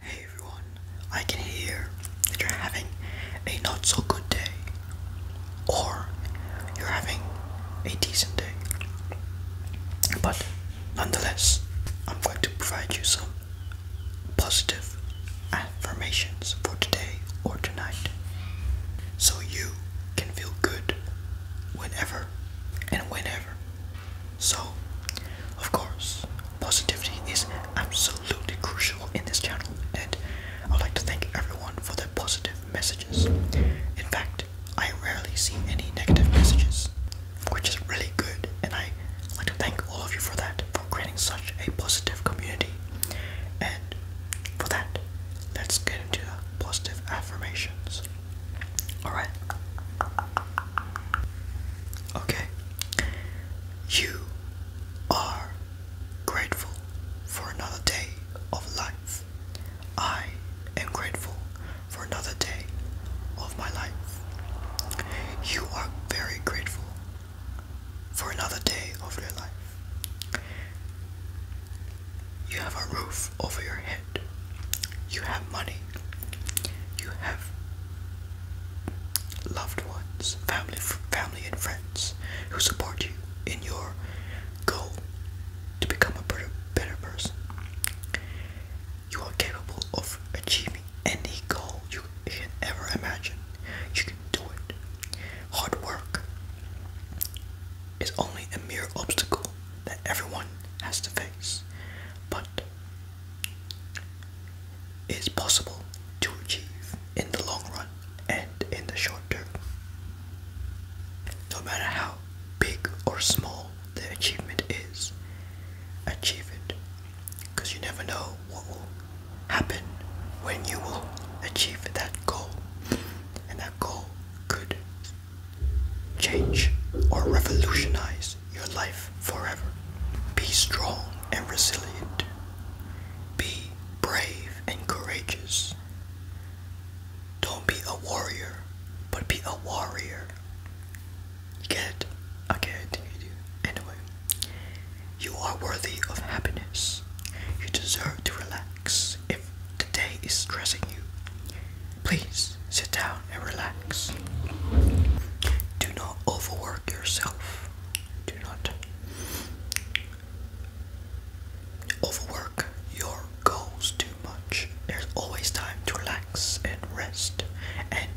Hey everyone, I can hear that you're having a not so good day, or you're having a decent day. But nonetheless, I'm going to provide you some positive affirmations for today or tonight so you can feel good whenever and whenever so, of course, positivity is absolutely crucial in this channel, and I'd like to thank everyone for their positive messages. In fact, I rarely see any negative messages, which is really good, and I would like to thank all of you for that, for creating such a positive community. And for that, let's get into the positive affirmations. Alright. Okay. You are grateful for another day of life. I am grateful for another day of my life. You are very grateful for another day of your life. You have a roof over your head. You have money. You have loved ones, family, family and friends who support you in your goal to become a better, better person. You are capable of achieving any goal you can ever imagine. You can do it. Hard work is only a mere obstacle that everyone has to face, but is possible to achieve in the long run and in the short term. No matter how big or small the achievement is, achieve it because you never know what will happen when you will achieve that goal, and that goal could change, or revolutionize your life forever. Be strong and resilient. Be brave and courageous. Don't be a warrior, but be a warrior. Get Okay, Anyway, you are worthy of happiness. You deserve to relax if the day is stressing you. Please sit down and relax. Do not overwork yourself. Do not overwork your goals too much. There's always time to relax and rest and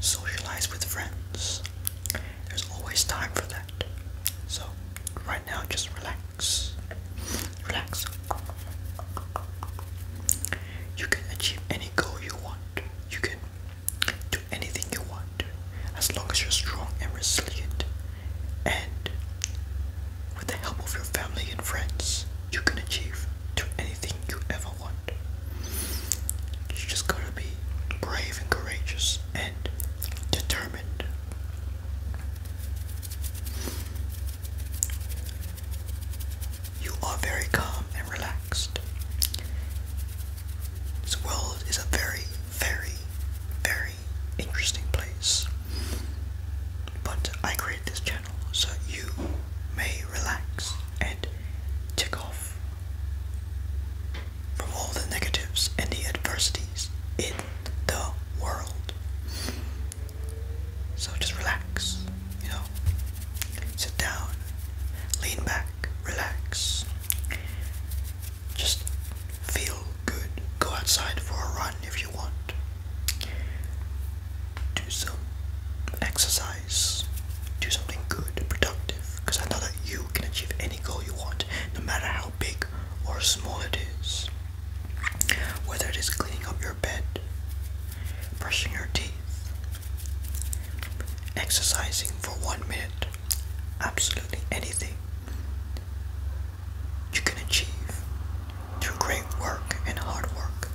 socialize with friends. There's always time for that. So, right now, just relax. Relax. You can achieve any goal you want. You can do anything you want as long as you're strong and resilient. And with the help of your family and friends, you can achieve to anything you ever want. You just gotta be brave and courageous and determined. You are very calm and relaxed. This world is a very, very, very interesting place. But I create this channel so you may relax and tick off from all the negatives and the adversities in the world. So just relax, you know. Sit down, lean back, relax. Just feel good. Go outside for a run if you want. Do some exercise. Do something good, productive. Because I know that you can achieve any goal you want, no matter how big or small it is. Whether it is cleaning up your bed, brushing your teeth, exercising for one minute, absolutely anything you can achieve through great work and hard work.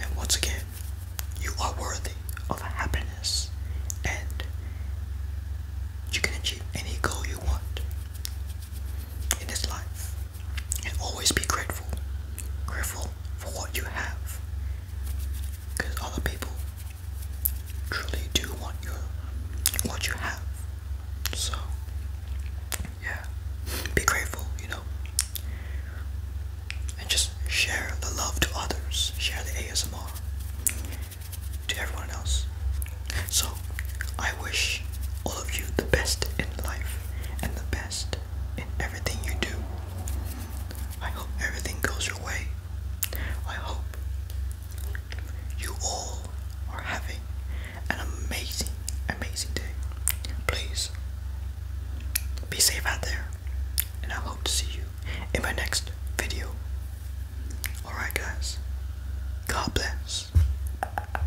And once again, you are worthy of happiness and you can achieve any goal you want in this life. And always be grateful. Grateful for what you have. Because other people truly do want your what you have. So yeah. Be grateful, you know. And just share the love to others. Share the ASMR to everyone else. So I wish all of you the best in life and the best in everything you do. I hope everything goes your way. I hope you all are having an amazing, amazing day. Please be safe out there, and I hope to see you in my next video. Alright, guys, God bless.